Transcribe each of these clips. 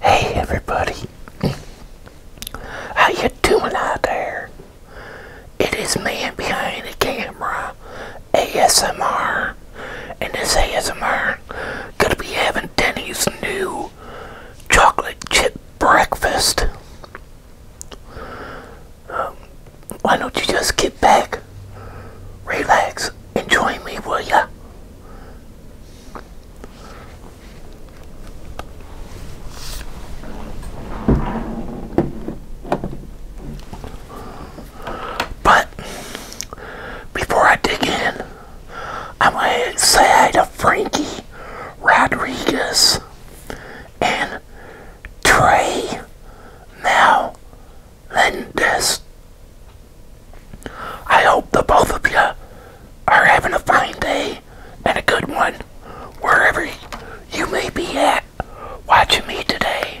Hey everybody, how you doing out there? It is man behind the camera, ASMR, and this ASMR gonna be having Denny's new chocolate chip breakfast. Um, why don't you just get back, relax, and join me, will ya? But before I dig in, I'm going to say to Frankie Rodriguez and Trey now, Melendez. I hope the both of you are having a fine day and a good one wherever you may be at watching me today.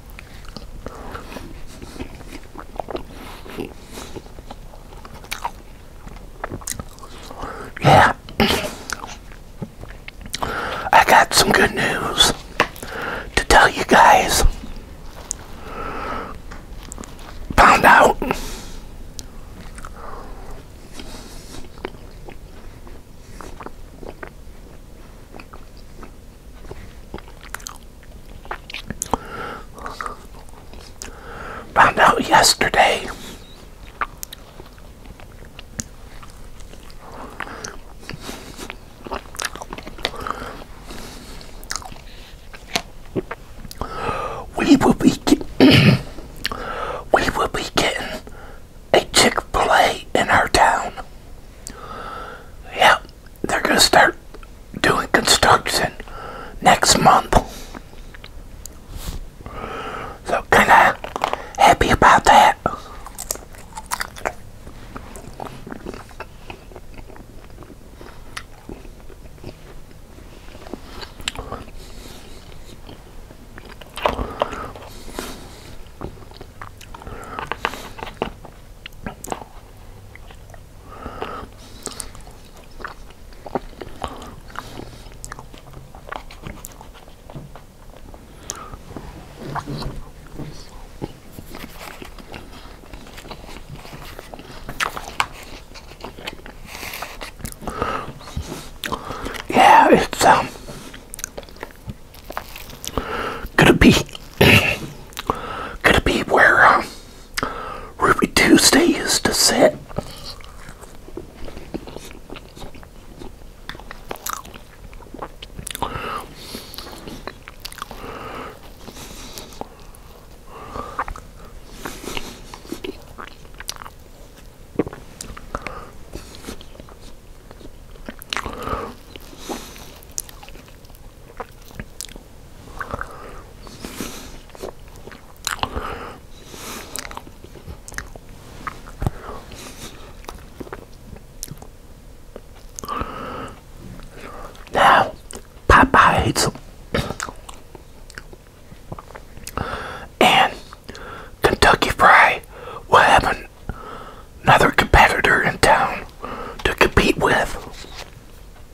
Yeah. I got some good news to tell you guys. Found out Found out yesterday we will be we will be getting a Chick-fil-A in our town. Yep they're going to start doing construction next month. So kind of happy about that. Yeah, it's um gonna be gonna be where um Ruby Tuesday used to sit. Now, them, and Kentucky Fry will have another competitor in town to compete with.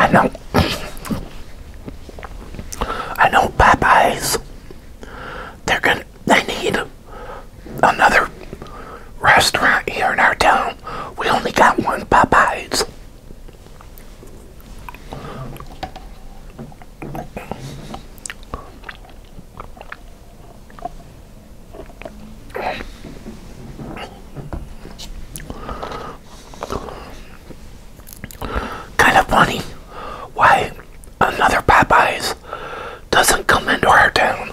I know, I know Popeyes, they're gonna, they need another restaurant here in our town. We only got one Popeyes. Kind of funny why another Popeyes doesn't come into our town.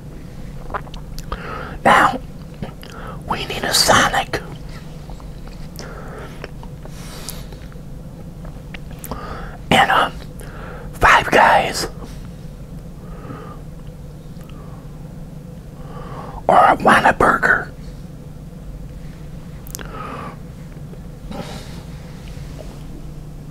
Now, we need a Sonic. And, um, Five Guys. Or a Whataburger.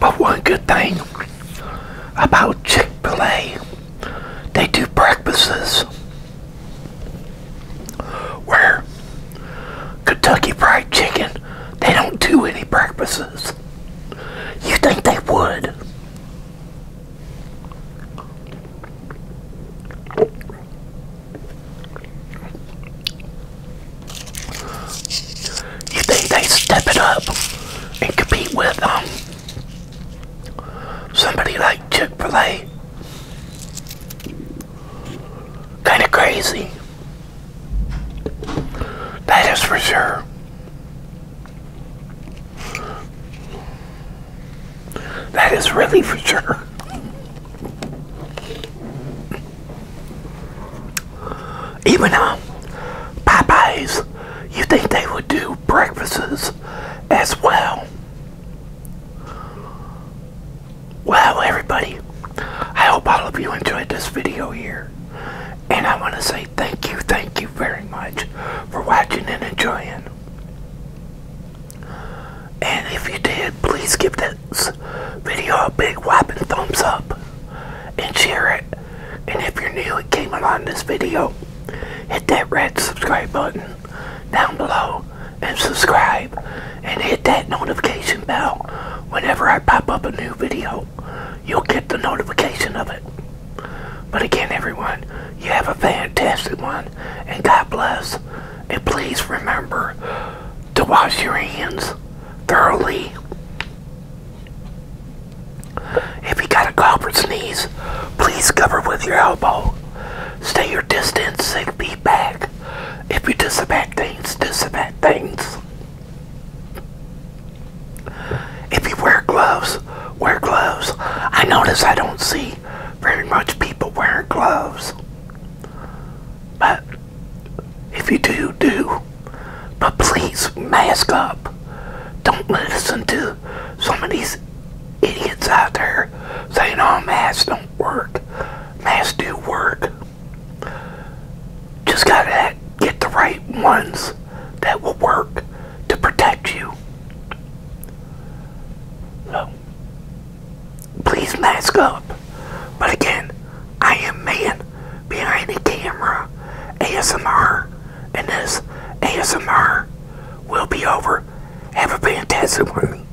But one good thing about Chick fil A, they do breakfasts where Kentucky Fried Chicken, they don't do any breakfasts. You think they would? You think they step it up and compete with um somebody like Chick-fil-A? Kind of crazy. That is for sure. That is really for sure. Even um, Popeyes, you think they would do breakfasts as well? Well, everybody, I hope all of you enjoyed this video here. And I want to say thank you, thank you very much for watching and enjoying. And if you did, please give this video a big whopping thumbs up and share it. And if you're new and came along this video, hit that red subscribe button down below and subscribe and hit that notification bell. Whenever I pop up a new video, you'll get the notification of it. But again, everyone, you have a fantastic one, and God bless. And please remember to wash your hands thoroughly. If you got a cough or sneeze, please cover with your elbow. Stay your distance, six be back. If you disinfect things, disinfect things. If you wear gloves, wear gloves. I notice I don't see very much people wearing gloves. But if you do, do. But please mask up. Don't listen to some of these idiots out there saying, oh, masks don't work. Masks do work. Just gotta get the right ones that will work to protect you. So, please mask up. But again, I am man behind the camera ASMR, and this ASMR will be over. Have a fantastic one.